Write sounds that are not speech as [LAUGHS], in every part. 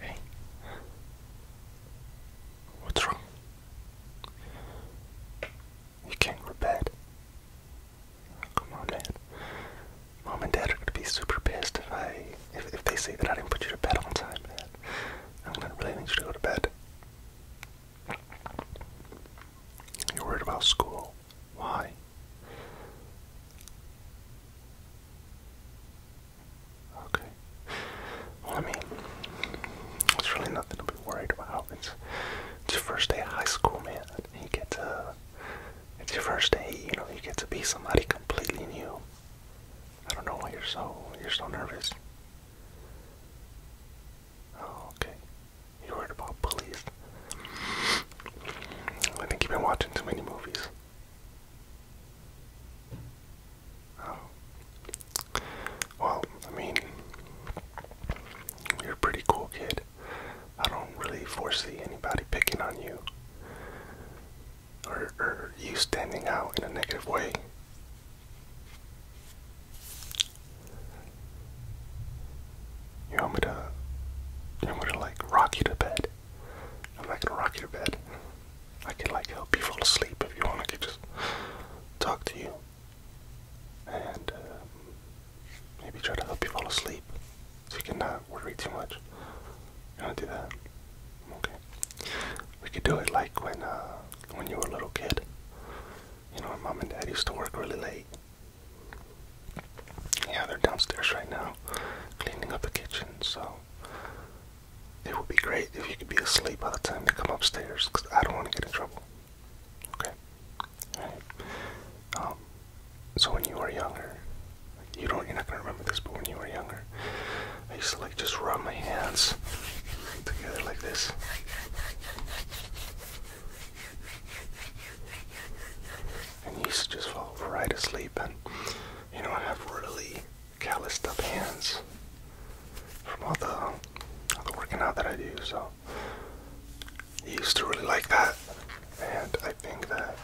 Hey. What's wrong? You can't go to bed. come on, man. Mom and Dad are gonna be super pissed if I if, they say that I didn't put you to bed on time, man. I'm gonna really need you to go to bed. You're worried about school. Why? Okay. I mean, it's really nothing to be worried about. It's, it's your first day of high school, man. You get to, it's your first day, you know, you get to be somebody completely new. I don't know why you're so, you're so nervous. Oh, okay. You're worried about police. I think you've been watching too many movies. Oh. Well, I mean, you're a pretty cool kid. I don't really foresee anybody picking on you or, or you standing out in a negative way. You want me to, you want me to like rock you to bed? I'm not gonna rock your bed. I can like help you fall asleep if you want. I can just talk to you and um, maybe try to help you fall asleep so you can not worry too much. You wanna do that? Okay. We could do it like when uh, when you were a little kid. You know, my mom and dad used to work really late. Yeah, they're downstairs right now, cleaning up the kitchen. So it would be great if you could be asleep by the time they come upstairs, because I don't want to get in trouble. Okay? Um, so when you were younger, you don't, you're not going to remember this, but when you were younger, I used to like just rub my hands together like this. And you used to just fall right asleep, and you know, I have really calloused up hands from all the, all the working out that I do. So I used to really like that, and I think that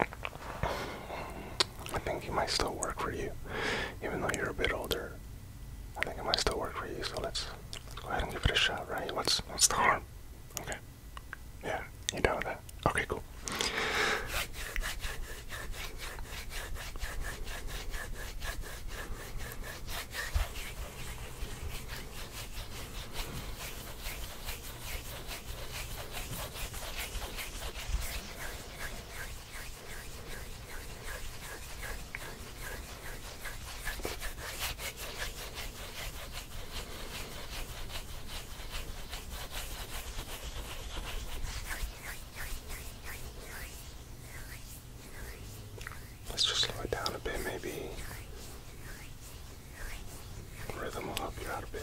mm, I think he might still work for you, even though you're a bit older. I think it might still work for you. So let's, let's go ahead and give it a shot, right? What's what's the harm? Okay. Yeah, you down that? Okay, cool. Let's just slow it down a bit, maybe. Rhythm will help you out a bit.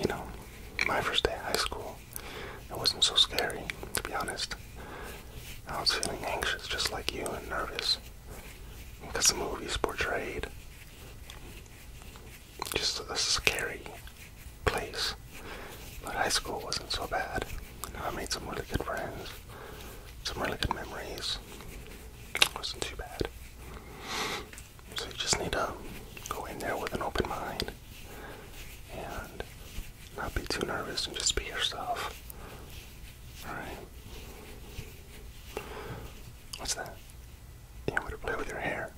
You know, my first day of high school, it wasn't so scary, to be honest. I was feeling anxious, just like you, and nervous. Because the movies portrayed just a scary place. But high school wasn't so bad. I made some really good friends, some really good memories. wasn't too bad. So you just need to go in there with an open mind and not be too nervous and just be yourself. Alright? What's that? You want me to play with your hair?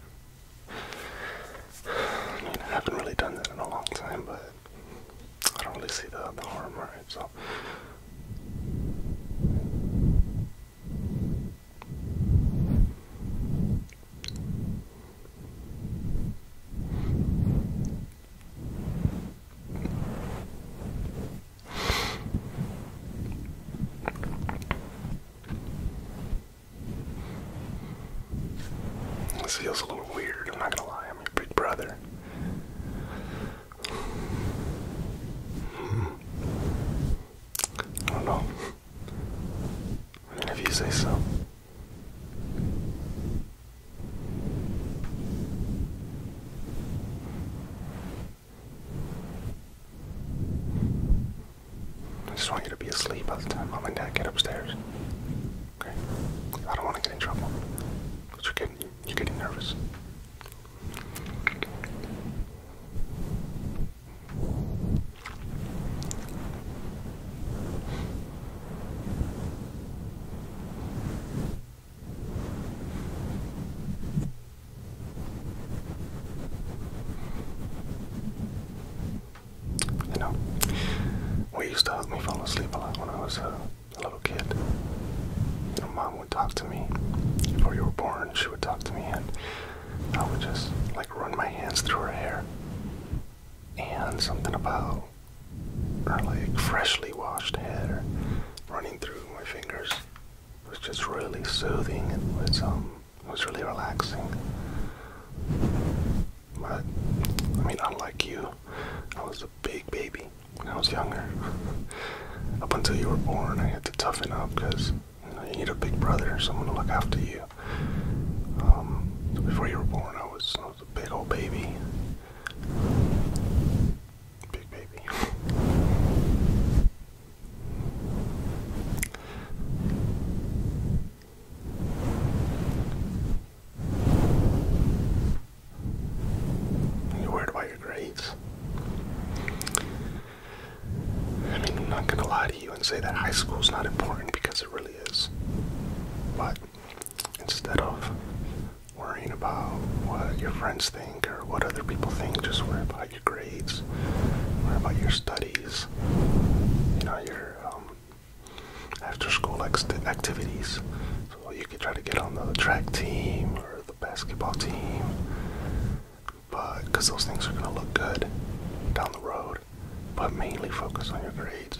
haven't really done that in a long time, but I don't really see the, the harm, right? So. This feels a little weird, I'm not gonna lie i your big brother. Hmm. I don't know. if you say so. I just want you to be asleep by the time mom and dad get upstairs. Okay? I don't want to get in trouble. But you're getting, you're getting nervous. You know, what used to help me fall asleep a lot when I was uh, a little kid. My mom would talk to me. Before you were born, she would talk to me, and I would just like run my hands through her hair. And something about her like freshly washed hair running through my fingers it was just really soothing. and was um, it was really relaxing. But, I mean, unlike you, I was a big baby when I was younger. [LAUGHS] up until you were born, I had to toughen up because you, need a big brother, someone to look after you. Um, before you were born, I was, I was a big old baby. Big baby. [LAUGHS] Are you worried about your grades? I mean, I'm not gonna lie to you and say that high school's not important because it really is. But instead of worrying about what your friends think or what other people think, just worry about your grades, worry about your studies, you know, your um, after school activities. So you could try to get on the track team or the basketball team, but because those things are going to look good down the road. But mainly focus on your grades.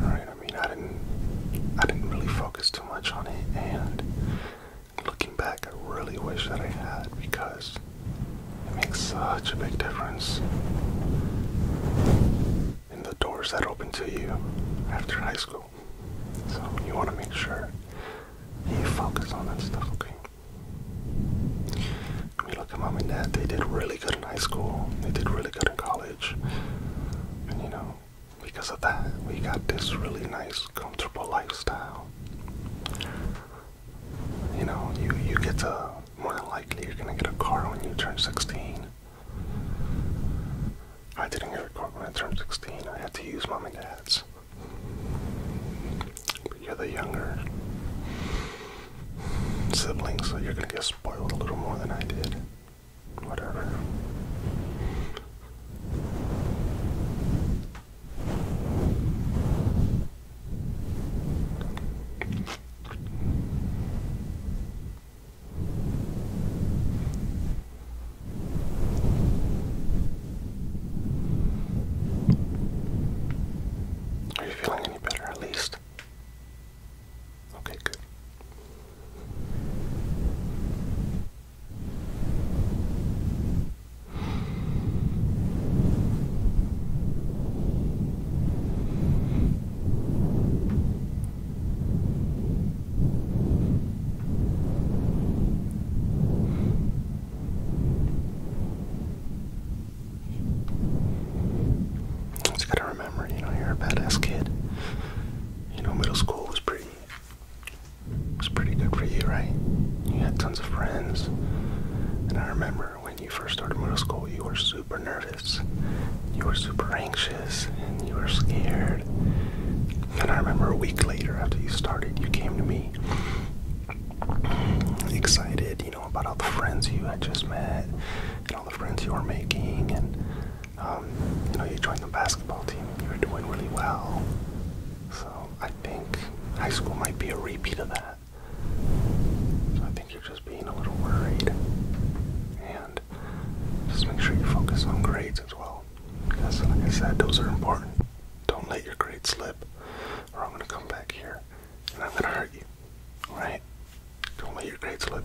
All right. I mean, I didn't, I didn't really focus too much on it, and looking back, I really wish that I had because it makes such a big difference. In the doors that open to you after high school. So you want to make sure you focus on that stuff, okay? I look at mom and dad. They did really good in high school. They did really good in college. And you know, because of that, we got this really nice, comfortable lifestyle. You know, you you get to more than likely you're gonna get a car when you turn 16. I didn't get a card when I turned 16. I had to use mom and dad's. But you're the younger sibling, so you're gonna get spoiled a little more than I did. Whatever. Are you feeling any better at least? Okay, good. Just gotta remember, you know, you're a badass kid. You know, middle school was pretty was pretty good for you, right? You had tons of friends. And I remember when you first started middle school, you were super nervous. You were super anxious and you were scared. And I remember a week later after you started, you came to me excited, you know, about all the friends you had just met and all the friends you were making. And, um, you know, you joined the basketball team and you were doing really well. So I think high school might be a repeat of that think you're just being a little worried. And just make sure you focus on grades as well. Because, like I said, those are important. Don't let your grades slip, or I'm going to come back here and I'm going to hurt you. Alright? Don't let your grades slip.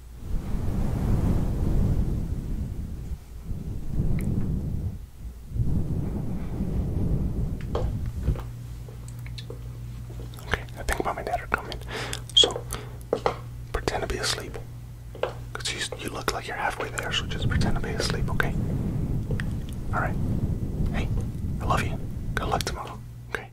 Okay, I think mom dad are coming. So pretend to be asleep. Cause you, you look like you're halfway there, so just pretend to be asleep, okay? All right. Hey, I love you. Good luck tomorrow. Okay.